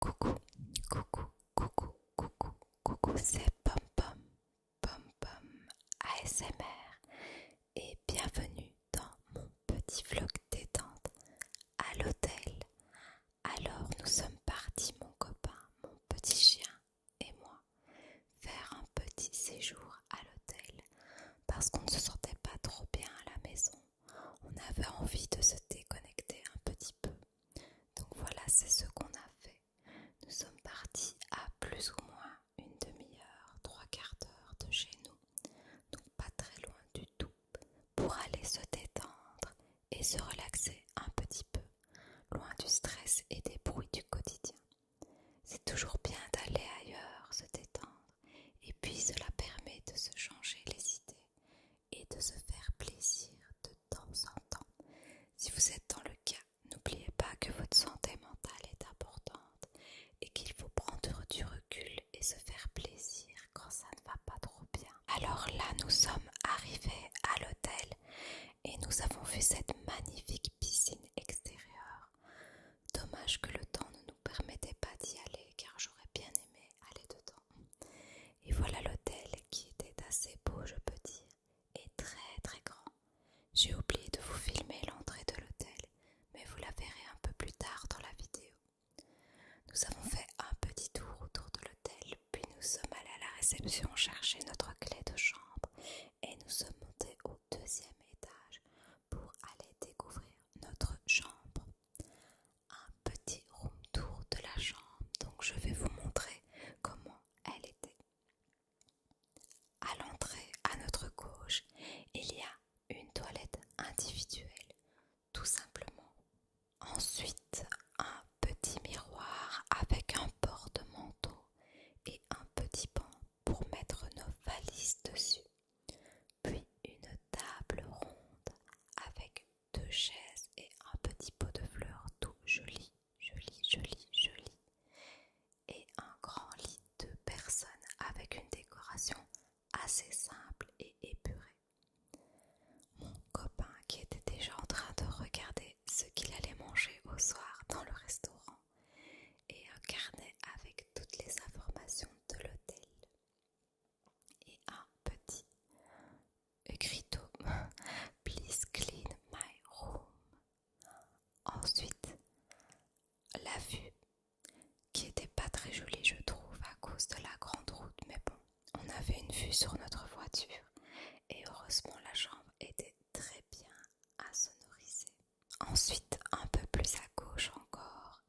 Coucou, coucou, coucou, coucou, coucou, c'est Pom Pom, Pom Pom ASMR et bienvenue dans mon petit vlog détente à l'hôtel. Alors nous sommes partis, mon copain, mon petit chien et moi, faire un petit séjour à l'hôtel parce qu'on ne se sentait pas trop bien à la maison. On avait envie de se déconnecter un petit peu. Donc voilà, c'est ce qu'on a fait. Nous sommes partis à plus ou moins une demi-heure, trois quarts d'heure de chez nous, donc pas très loin du tout, pour aller se détendre et se relaxer un petit peu, loin du stress et des bruits du quotidien. C'est toujours bien d'aller ailleurs, se détendre, et puis cela permet de se changer les idées et de se faire plaisir de temps en temps. Si vous êtes dans le cas, n'oubliez pas que votre santé mentale est importante et qu'il faut prendre du recul et se faire plaisir quand ça ne va pas trop bien. Alors là, nous sommes arrivés à l'hôtel et nous avons vu cette magnifique piscine extérieure. Dommage que le temps ne nous permettait pas d'y aller car j'aurais bien aimé aller dedans. Et voilà l'hôtel qui était assez beau, je peux dire, et très très grand. J'ai oublié de vous filmer l'entrée de l'hôtel, mais vous la verrez un peu plus tard dans la vidéo. Nous avons fait un petit tour autour de l'hôtel, puis nous sommes allés à la réception chercher notre clé de chambre et nous sommes montés au deuxième étage pour aller découvrir notre chambre un petit room tour de la chambre, donc je vais vous montrer comment elle était. À l'entrée, à notre gauche, il y a une toilette individuelle, tout simplement. Ensuite, un petit miroir avec un porte-manteau et un petit pan pour mettre nos valises dessus. Puis une table ronde avec deux chaises et un petit pot de fleurs tout joli, joli, joli, joli. Et un grand lit de personnes avec une décoration assez simple et épurée. Mon copain qui était déjà en train de regarder ce qu'il allait manger au soir dans le restaurant et un carnet avec toutes les informations de l'hôtel et un petit écriteau Please clean my room. Ensuite, la vue qui était pas très jolie, je trouve, à cause de la grande route, mais bon, on avait une vue sur notre voiture et heureusement la chambre était très bien assonorisée. Ensuite, un peu plus à gauche encore,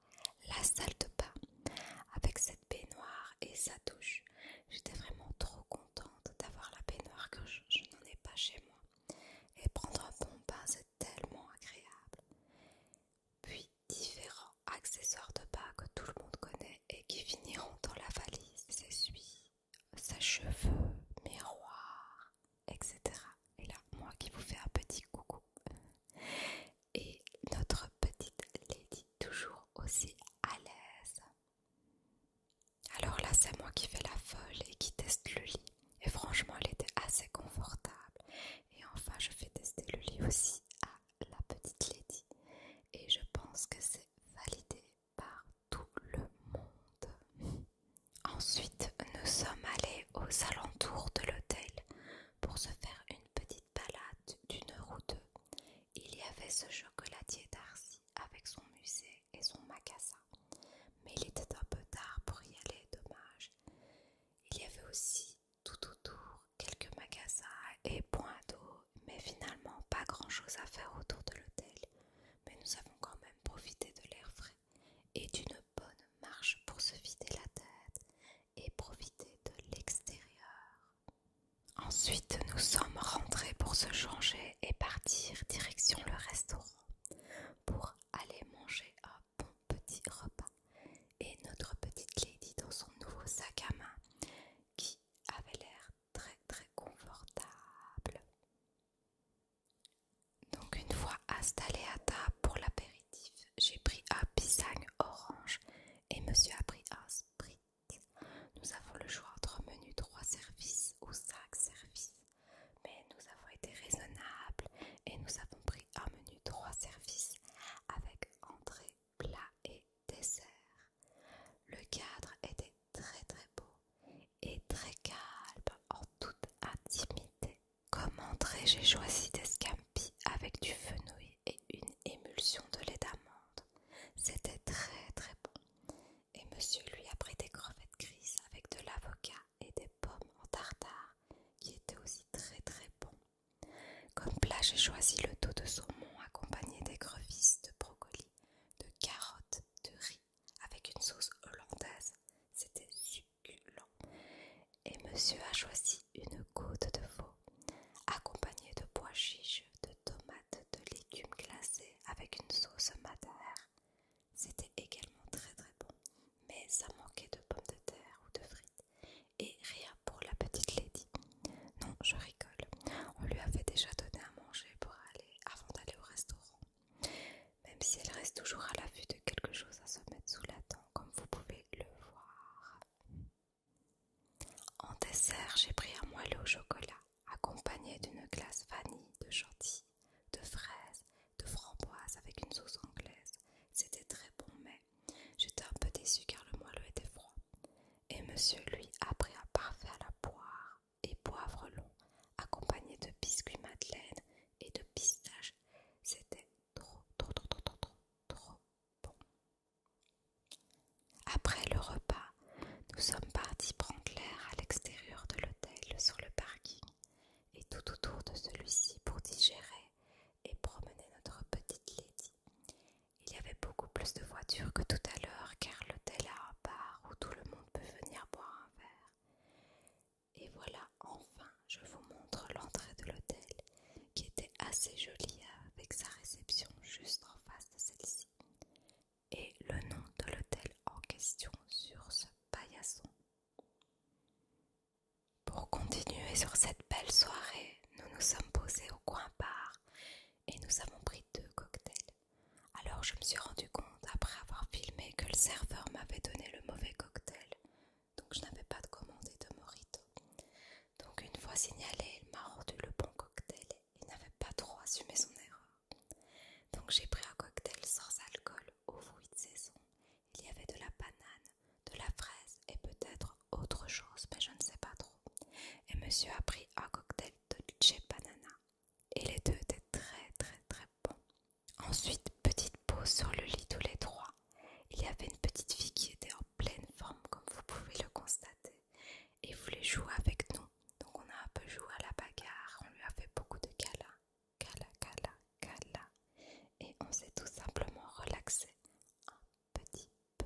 la salle de bain avec cette cette et sa douche. J'étais vraiment trop contente d'avoir la baignoire que je, n'en ai pas chez moi. Et prendre un bon bain, c'est tellement agréable. Puis différents accessoires de bain que tout le monde connaît et qui finiront dans la valise, s'essuie, sa cheveux miroir, etc. Et là, moi qui vous fais un petit coucou. Et notre petite Lady toujours aussi à l'aise. Alors là, c'est moi qui fais la folle et qui teste le lit. Et franchement, elle était assez confortable. Et enfin, je fais tester le lit aussi à la petite Lady. Et je pense que c'est validé par tout le monde. Ensuite, nous sommes allés aux alentours de l'hôtel pour se faire une petite balade d'une heure ou deux il y avait ce chocolatier d'Arcy avec son musée et son magasin, mais il était un peu tard pour y aller, dommage. Il y avait aussi tout autour quelques magasins et points d'eau, mais finalement pas grand-chose à faire autour de l'hôtel. Mais nous avons quand même profité de l'air frais et d'une bonne marche pour se vider la tête et profiter de l'extérieur. Ensuite, nous sommes rentrés pour se changer et partir direction le restaurant pour aller manger un bon petit repas. Et notre petite lady dans son nouveau sac à main qui avait l'air très très confortable. Donc une fois installé à table pour l'apéritif, j'ai pris un pisang orange et monsieur a pris un sprite nous avons le choix entre menu 3 services ou 5 services. Mais nous avons été raisonnables et nous avons pris un menu 3 services avec entrée, plat et dessert. Le cadre était très très beau et très calme en toute intimité. Comme entrée, j'ai choisi des scampi avec du fenouil et une émulsion de lait d'amande. C'était très très bon. Et monsieur lui a pris des crevettes grises avec de l'avocat et des pommes en tartare qui étaient aussi très très bons. Comme plat, j'ai choisi le dos de saumon accompagné d'écrevisses, de brocoli de carottes, de riz avec une sauce hollandaise. C'était succulent. Et monsieur a choisi une côte de veau Accompagné de pois chiches, de tomates, de légumes glacés avec une sauce madère. C'était également très très bon, mais ça manquait de pommes de terre ou de frites. Et rien pour la petite lady. Non, je rigole. On lui avait déjà donné à manger pour aller avant d'aller au restaurant. Même si elle reste toujours à la vue de quelque chose à se mettre sous la dent, comme vous pouvez le voir. En dessert, j'ai pris un moelleux au chocolat, accompagné d'une glace vanille, de chantilly, de fraises, de framboises avec une sauce anglaise. C'était très bon, mais j'étais un peu déçue car le moelleux était froid. Et monsieur, lui, a pris un parfait à la poire et poivre long, accompagné de biscuits madeleine et de pistaches. C'était trop, trop, trop, trop, trop, trop bon. Après le repas, nous sommes partis prendre l'air à l'extérieur de l'hôtel sur le parking et tout autour de celui-ci pour digérer et promener notre petite lady. Il y avait beaucoup plus de voitures que tout à l'heure car l'hôtel a un bar où tout le monde peut venir boire un verre. Et voilà, enfin, je vous montre l'entrée de l'hôtel qui était assez jolie avec sa réception juste en face de celle-ci et le nom de l'hôtel en question sur ce paillasson. Pour continuer sur cette belle soirée, nous nous sommes posés au coin bar et nous avons pris deux cocktails. Alors je me suis rendu compte, après avoir filmé, que le serveur m'avait donné le mauvais cocktail, donc je n'avais pas de commandé de morito. Donc une fois signalé, il m'a rendu le bon cocktail il n'avait pas trop assumé son erreur. Donc j'ai pris un cocktail sans alcool au fruit de saison. Il y avait de la banane, de la fraise et peut-être autre chose, mais je ne sais pas trop. Et monsieur a pris un cocktail de Chez Banana. Et les deux étaient très très très bons. Ensuite, petite pause sur le lit tous les trois. Il y avait une petite fille qui était en pleine forme comme vous pouvez le constater et voulait jouer avec nous. Donc on a un peu joué à la bagarre, on lui a fait beaucoup de kala kala kala kala Et on s'est tout simplement relaxé un petit peu.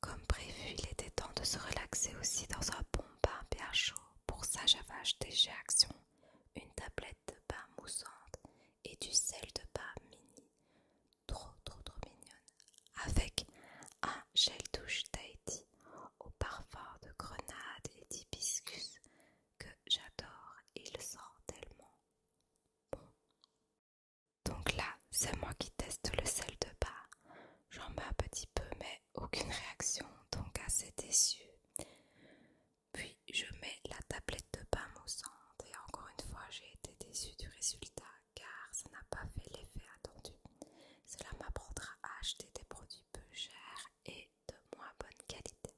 Comme prévu, il était temps de se relaxer aussi dans un bon bain bien chaud. Pour ça, j'avais acheté Action une tablette de bain moussante et du sel de bain mini trop trop trop mignonne avec un gel douche Tahiti au parfum de grenade et d'hibiscus que j'adore, il sent tellement bon. Donc là, c'est moi qui teste le sel de bain J'en mets un petit peu mais aucune réaction, donc assez déçu Puis je mets la tablette de au centre et encore une fois j'ai été déçue du résultat car ça n'a pas fait l'effet attendu. Cela m'apprendra à acheter des produits peu chers et de moins bonne qualité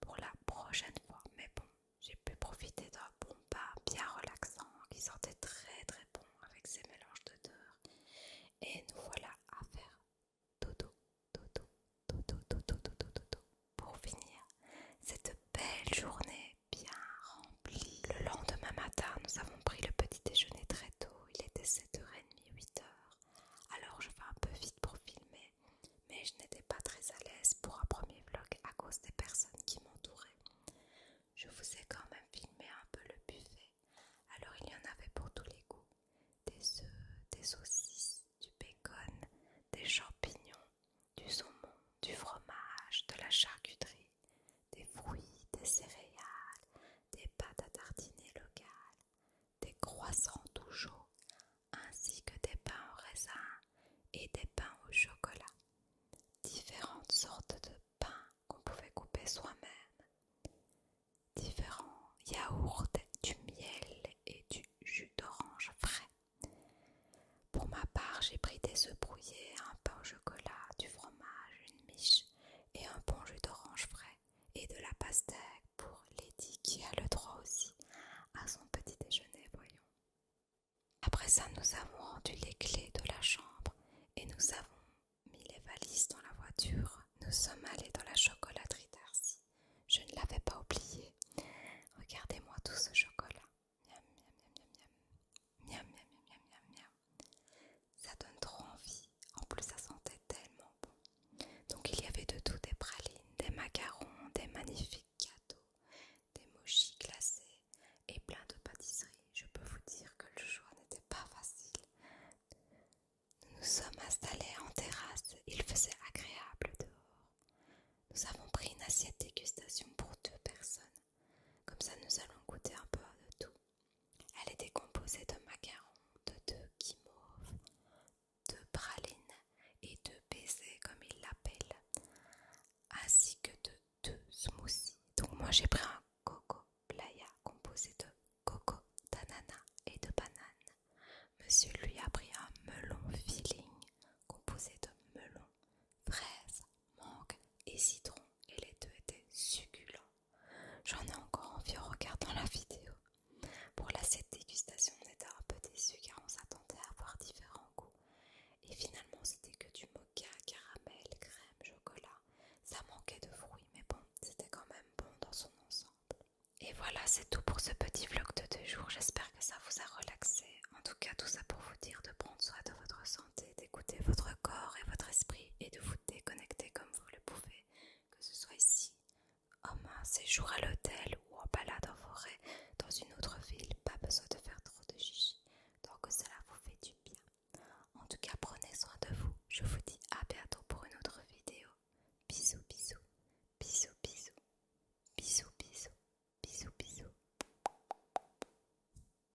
pour la prochaine fois. Mais bon, j'ai pu profiter d'un bon pas bien relaxant qui sentait très très bon avec ses mélanges d'odeurs. Et nous voilà à faire dodo, dodo, dodo, dodo, dodo, dodo, dodo pour finir cette belle journée bien rempli. Le lendemain matin, nous avons pris le petit déjeuner très tôt. Il était 7h30, 8h. Alors je vais un peu vite pour filmer, mais je n'étais pas très à l'aise pour un premier vlog à cause des personnes qui m'entouraient. Je vous ai quand même filmé un peu le buffet. Alors il y en avait pour tous les goûts. Des œufs, des saucisses, du bacon, des champignons, du saumon, du fromage, de la charcuterie, des fruits, des céréales, des pâtes à tartiner locales, des croissants tout ainsi que des pains au raisin et des pains au chocolat. Différentes sortes de pains qu'on pouvait couper soi-même. Différents yaourts, du miel et du jus d'orange frais. Pour ma part, j'ai pris des œufs brouillés, un pain au chocolat, du fromage, une miche et un bon jus d'orange frais et de la pastèque pour Lady qui a le droit aussi à son petit déjeuner, voyons. Après ça, nous avons rendu les clés de la chambre et nous avons mis les valises dans la voiture. Nous sommes allés dans la chocolaterie Darcy. Je ne l'avais pas oublié. Regardez-moi tout ce chocolat miam miam miam miam miam miam miam miam miam miam ça donne trop envie en plus ça sentait tellement bon donc il y avait de tout des pralines des macarons des magnifiques gâteaux des mochis glacés et plein de pâtisseries je peux vous dire que le choix n'était pas facile nous nous sommes installés en terrasse il faisait agréable dehors nous avons pris une assiette dégustation pour deux personnes comme ça, nous allons goûter un peu de tout. Elle était composée de macarons, de deux guimauves, de pralines et de baisers, comme ils l'appellent, ainsi que de deux smoothies. Donc, moi j'ai pris un coco playa composé de coco, d'ananas et de bananes Monsieur lui a pris un melon filling composé de melon, fraises, mangue et citron et les deux étaient succulents. J'en ai encore envie en regardant la vidéo. Pour l'assiette dégustation, on était un peu déçus car on s'attendait à avoir différents goûts. Et finalement, c'était que du mocha, caramel, crème, chocolat. Ça manquait de fruits, mais bon, c'était quand même bon dans son ensemble. Et voilà, c'est tout pour ce petit vlog de deux jours. J'espère que ça vous a relaxé. En tout cas, tout ça pour vous dire de prendre soin de votre santé d'écouter votre corps et votre esprit et de vous déconnecter comme vous le pouvez, que ce soit ici, en main, séjour à l'hôtel ou en balade en forêt dans une autre ville. Pas besoin de faire trop de chichi, tant que cela vous fait du bien. En tout cas, prenez soin de vous. Je vous dis à bientôt pour une autre vidéo. Bisous, bisous, bisous, bisous, bisous, bisous, bisous, bisous.